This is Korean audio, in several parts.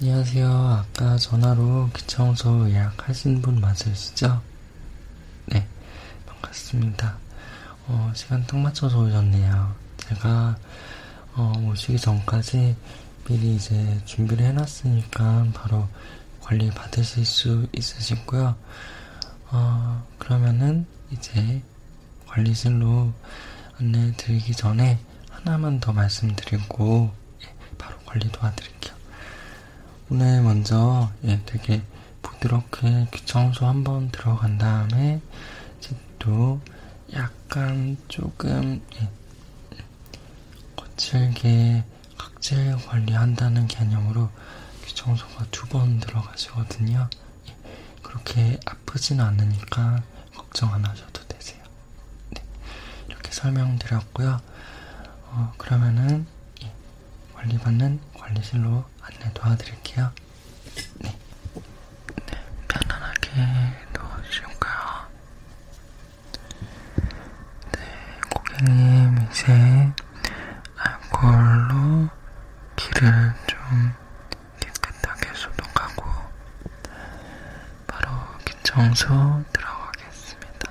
안녕하세요. 아까 전화로 기차원서 예약하신 분 맞으시죠? 네, 반갑습니다. 어, 시간 딱 맞춰서 오셨네요. 제가 어, 오시기 전까지 미리 이제 준비를 해놨으니까 바로 관리 받으실 수 있으시고요. 어, 그러면은 이제 관리실로 안내 드리기 전에 하나만 더 말씀드리고 예, 바로 관리 도와드릴게요. 오늘 먼저 예, 되게 부드럽게 귀청소 한번 들어간 다음에 집도 약간 조금 예, 거칠게 각질 관리한다는 개념으로 귀청소가 두 번 들어가시거든요. 예, 그렇게 아프진 않으니까 걱정 안 하셔도 되세요. 네, 이렇게 설명드렸고요. 어, 그러면은 예, 관리받는 관리실로 안내 도와드릴게요. 네, 네 편안하게 누워주실까요? 네, 고객님 이제 알코올로 귀를 좀 깨끗하게 소독하고 바로 기청소 들어가겠습니다.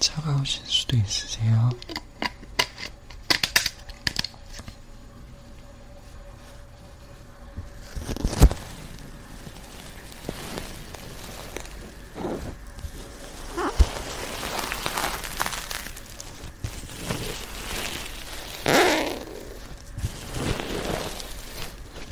차가우실 수도 있으세요.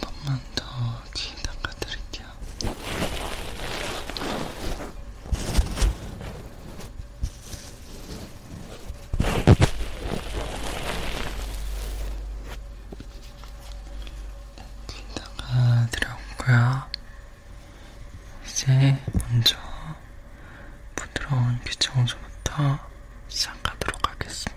한 번만 더귀 닦아드릴게요. 귀 닦아드려온 거야. 이제 먼저 부드러운 귀청소부터 시작하도록 하겠습니다.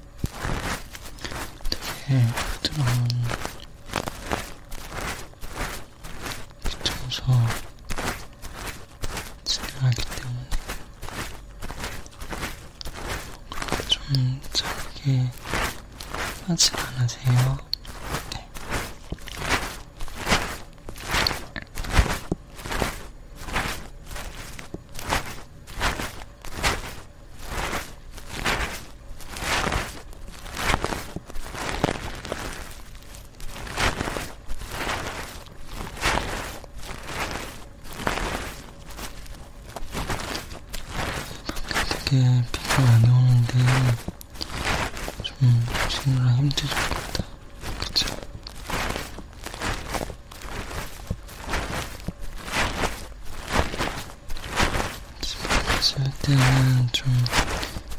되게 부드러운 귀청소 진행하기 때문에 좀 자극이 하지 않으세요? 네. 밖에 비가 많이 오는데 좀 쉬느라 힘들죠. 집에 갈 때는 좀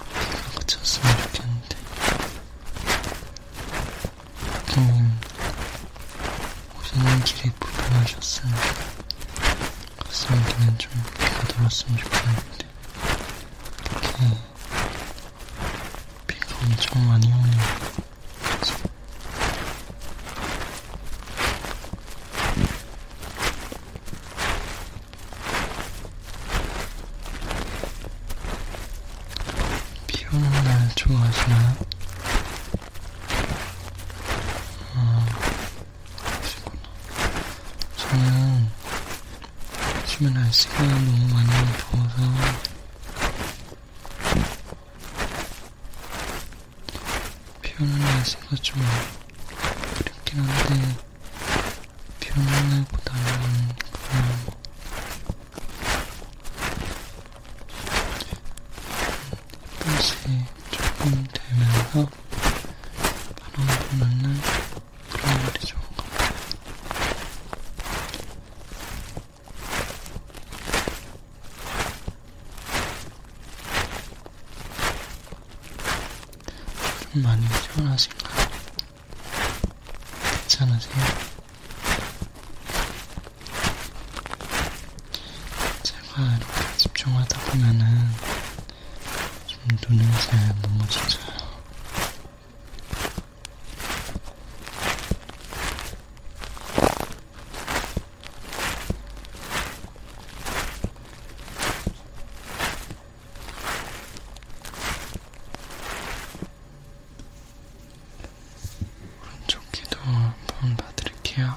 비가 그쳤으면 좋겠는데 고객님 오시는 길이 불편하셨으면 가슴에는 좀 비가 들었으면 좋겠는데 이렇게 비가 엄청 많이 오네요 비 오는 날 좋아하시나요? 아, 어, 그러시구나. 저는 요즘에 날씨가 너무 많이 더워서 표현을 안 써서 좀 그렇긴 한데 표현을보다는 그냥 끝이 조금 되면서 바람을 넣는 그런 말이 좋은 것 같아요. 많이 피곤하신가요? 괜찮으세요? 제가 이렇게 집중하다 보면은 좀 눈을 잘 넘어지져요. 오른쪽 귀도 한번 봐드릴게요.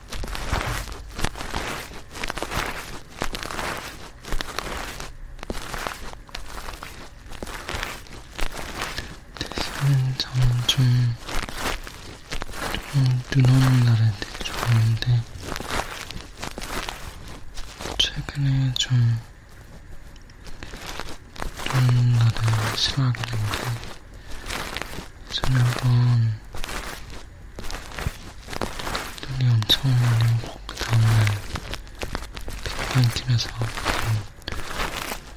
대신 저는 좀, 좀눈 오는 날에 되게 좋아하는데 최근에 좀눈 오는 날을 싫어하게 된게 전에 한번 눈이 엄청 많이 오고 그 다음날 빅파인팀에서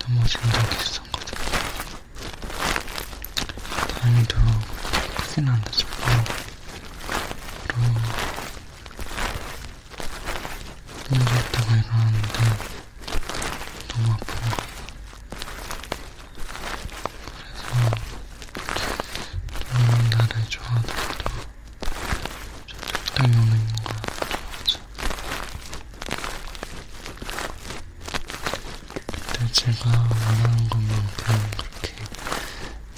넘어진 적이 있었거든. 다행히도 크진 않았지만 바로 눈이 왔다가 일어났는데 너무 아픈 거예요. 그래서 음, 나를 좋아하더라도 좀 적당히 오는 거 좋아하죠. 근데 제가 원하는 것만큼 그렇게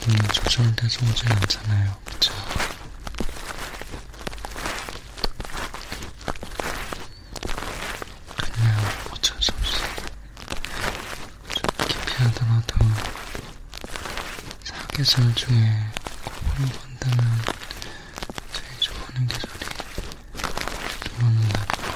눈이 조절돼서 오진 않잖아요. 그쵸? 그냥 어쩔 수 없이 좀 기피하더라도 사계절 중에 그걸 본다면 제일 좋아하는 계절이 좋아하는 날인 것 같아요.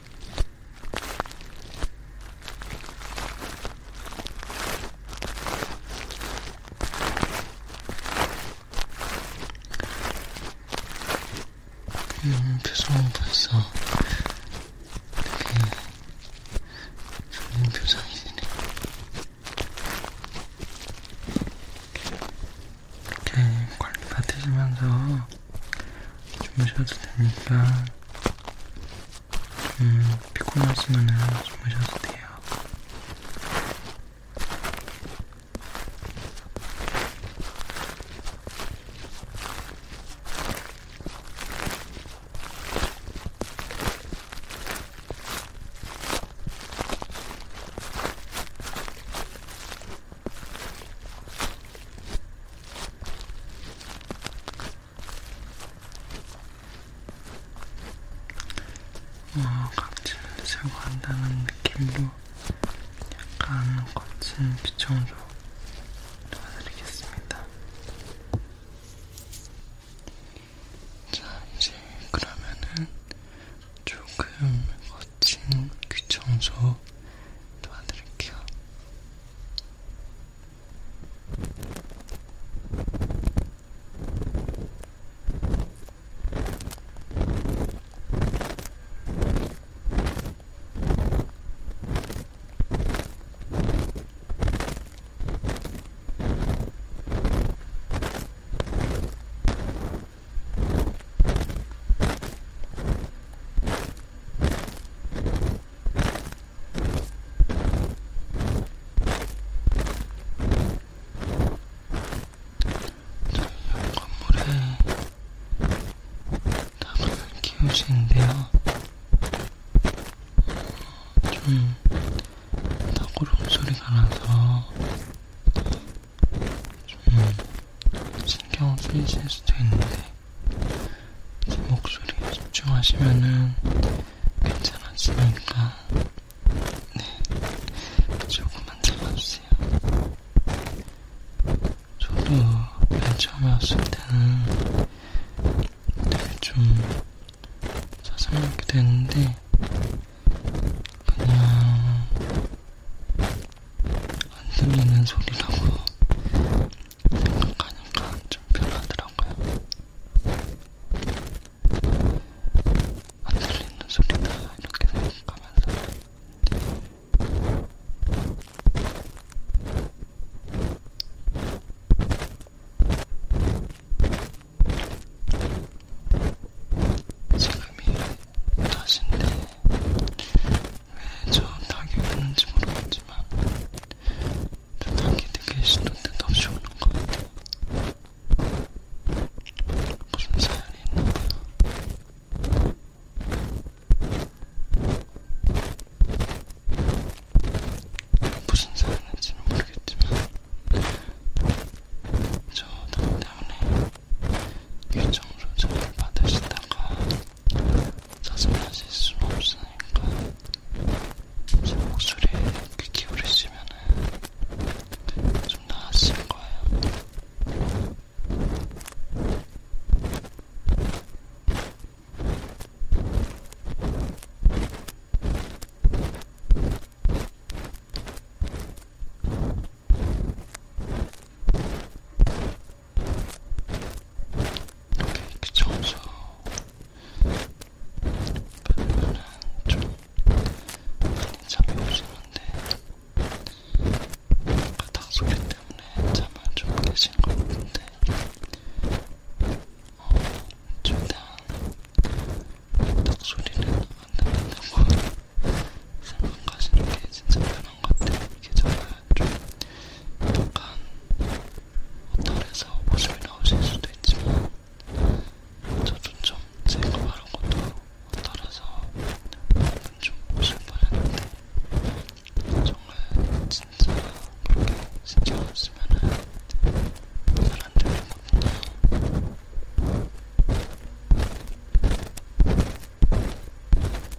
음, 표정은 벌써 되게 좋은 표정이 되네. 이렇게 네, 관리 받으시면서 주무셔도 되니까 음, 피곤하시면 주무셔도 돼요. 음, 어, 각질을 제거한다는 느낌도 약간 거친 비청으로 도와드리겠습니다. 자, 이제 그러면은 조금 거친 귀 청소 도와드릴게요. 건물에 닭을 키우시는데요. 좀 닭고름 소리가 나서 좀 신경 쓰이실 수도 있는데 제 목소리에 집중하시면은 괜찮아지니까 네 조금만 참아주세요. 저도 맨 처음에 왔을 때는 되게 좀 짜증나게 됐는데 그냥 안 들리는 소리라고 생각하니까 좀 별하더라고요. 안 들리는 소리다 이렇게 생각하면서 지금이 다신데 왜저 닭이 오는지 모르겠지만 저 닭이 되게 시도 때도 없이 오는 것 같아요. 무슨 사연이 있나봐요. 무슨 사연인지는 모르겠지만 저 닭 때문에 유정조절을 받으시다가 짜증내실 순 없으니까 제 목소리에 귀 기울이시면은 좀 나아질 거예요. 이렇게 이렇게 청소 반면은 좀 많이 잠이 오시는데 바닥 소리 때문에 잠을 좀 깨시는 것 같은데 어, 최대한 바닥 소리는 안 듣는다고 생각하시는 게 진짜 편해요. 그런 것들 이게 저는 좀 약간 어떨해서 모습이 나오실 수도 있지만 저도 좀 제가 말한 것도 어떨해서 오늘 좀 오실 뻔했는데 정말 진짜 그렇게 신경 안 쓰면은 잘 안 되거든요.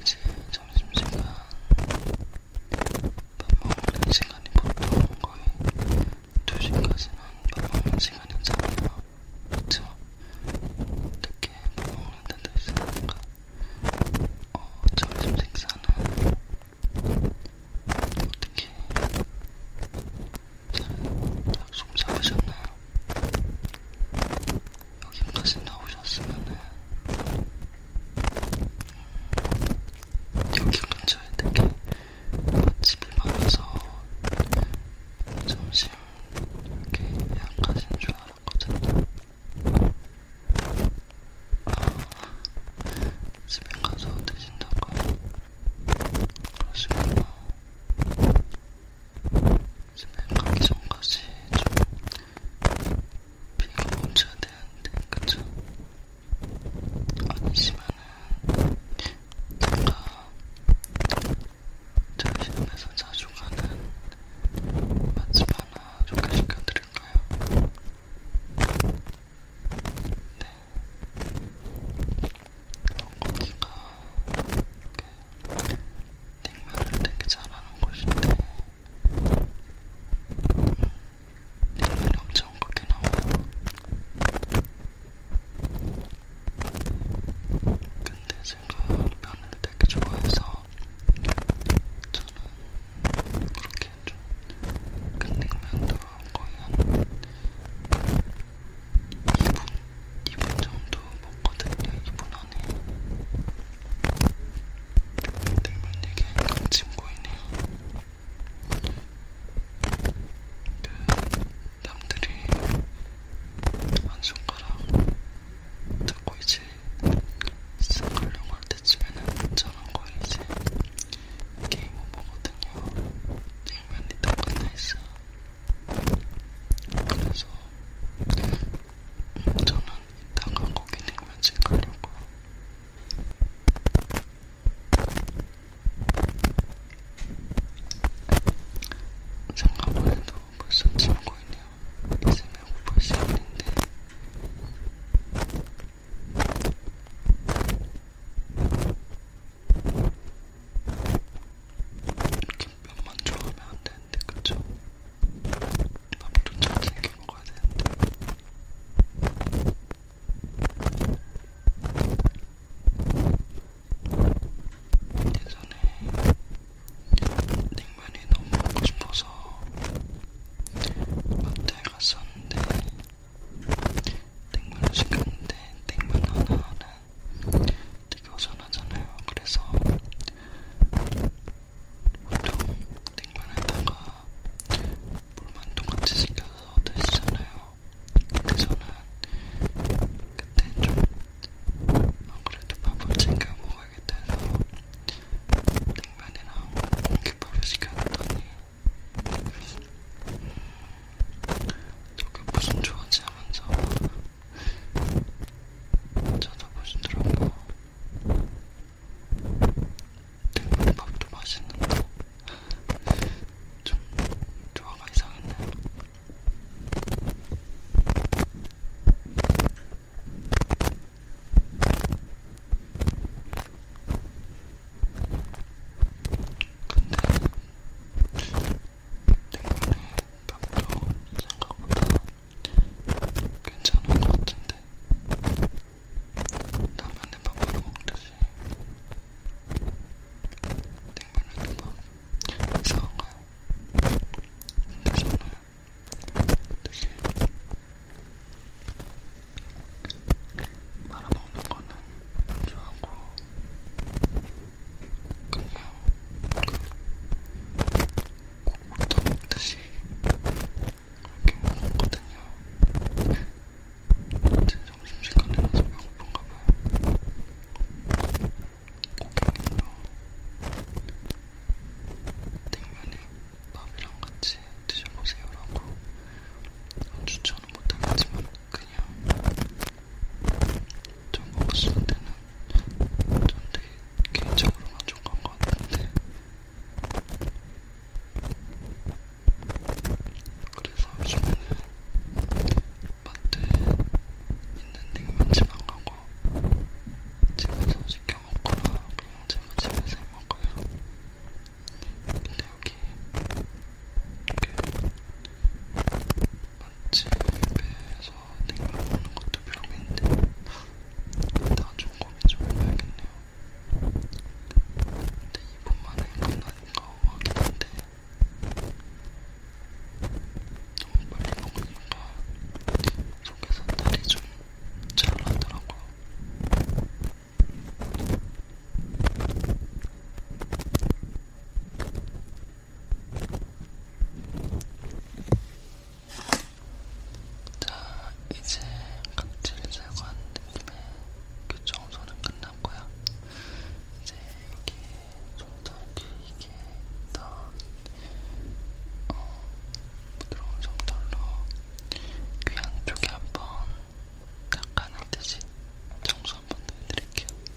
이제 점심시간 밥 먹는 시간이 보통 거의 2시까지는 밥 먹는 시간이잖아요. 그쵸? 어떻게 밥 먹는 데도 있으니까 어, 점심 식사는 어떻게 방송 잡으셨나? 여기까지 나오셨으면은 여기 근처에 되게 맛집이 많아서 점심 이렇게 약하신 줄 알았거든요. 아, 집에 가서 드신다고 그러시구나. 집에 가기 전까지 좀 비가 멈춰야 되는데, 그쵸? 아니시면은 제가 저희 집에서 자주 가는 맛집 하나 소개시켜 드릴까요? 네. 거기가 이렇게 냉면을 되게 잘하는 곳인데 냉면이 엄청 크게 나와요. 근데 제가 면을 되게 좋아해서 저는 그렇게 좀큰 냉면도 거의 한 2분, 2분 정도 먹거든요. 2분 안에. 들만 얘기하니까 침 고이네요. 그, 남들이 한 손가락 듣고 이제 싹 하려고 할 때쯤에는 저는 거의 이제 게임 오버거든요. 게임은 리턴 끝나 있어. 그래서 저는 이따가 고기냉면집 가려고요. 생각만 해도 벌써 친구이네요. 이제 배고플 시간인데 김밥만 좋아하면 안 되는데, 그쵸? 밥도 잘 챙겨 먹어야 되는데. 예전에 냉면이 너무 먹고 싶어서 마트에 갔었는데 냉면을 시켰는데 냉면 하나는 되게 어전하잖아요. 그래서 보통 냉면에다가 물만두같이 생겨서 드시잖아요. 근데 저는 그때 좀 아무래도 밥을 챙겨 먹어야겠다 해서 냉면이랑 공깃밥을 시켰더니 음, 저게 무슨 좋아지 하면서 찾아보시더라고. 등분밥도 맛있는데 좀 조화가 이상했네요. 근데 때문에 감정 생각보다 괜찮은 것 같은데 라면에 밥을 먹듯이 냉면에도 막 이상한가요? 근데 저는 되게 말아먹는 거는 좋아하고 국물도 먹듯이 이렇게 먹거든요. 제 점심시간에 나서 배고픈가 봐요. 고객님도 냉면에 밥이랑 같이 드셔보세요라고 추천은 못하겠지만 그냥 전 먹었을 때는 전 되게 개인적으로 만족한 것 같은데 그래서 요즘에는 마트에 있는 냉면집안 가고 집에서 시켜 먹거나 그냥 제가 집에서 먹어요. 근데 여기 그 맛집에서 냉면 먹는 것도 별미인데 나중 고민 좀 해봐야겠네요. 근데 이분만의 건 아닌가 하긴 한데 너무 빨리 먹으니까 속에서 날이 좀 잘나더라고요. 자, 이제 각질 제거한 느낌의 교청소는 끝났고요. 이제 여기 좀더 길게 더 어, 부드러운 정털로 귀 안쪽에 한번 닦아는 듯이 청소 한번 더 해드릴게요.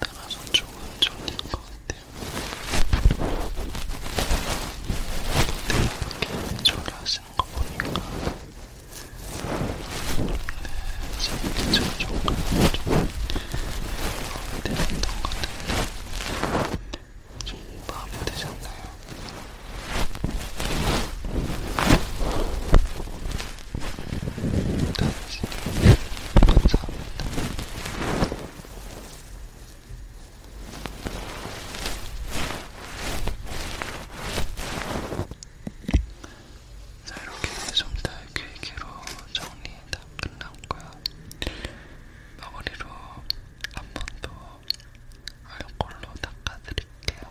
따라서 조금 좋은 것 같아요. 근데 이렇게 조리하시는 거 보니까 사기처럼 조금 마음에 드셨던 것 같은데 좀 마음에 드셨나요? 당신이 감사합니다. 자 이렇게 좀더 길게로 정리 다 끝났고요. 마무리로 한 번더 알콜로 닦아드릴게요.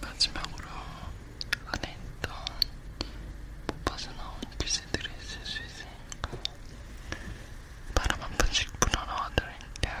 마지막으로 안에 있던 못 빠져나온 글씨들이 있을 수 있으니까 바람 한 번씩 불어넣어 드릴게요.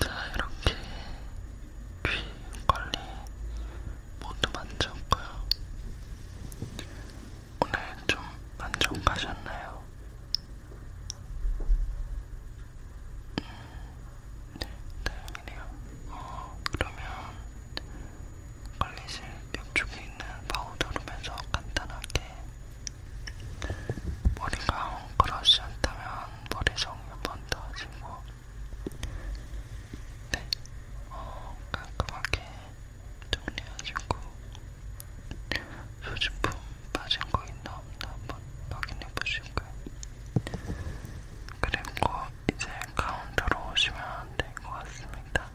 자, 이렇게 귀 관리 모두 만졌고요. 오늘 좀 만족하셨나요? 음, 네, 다행이네요. 어, 그러면 관리실 옆쪽에 있는 파우더룸에서 간단하게 머리가 헝클어지지 않다면 머리 정리 번더 하시고 네, 어, 깔끔하게 정리하시고 소진품 빠진 거 있나 없나 한번 확인해 보실까요? 그리고 이제 카운터로 오시면 될 것 같습니다.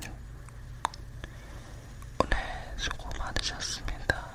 네. 오늘 수고 많으셨습니다.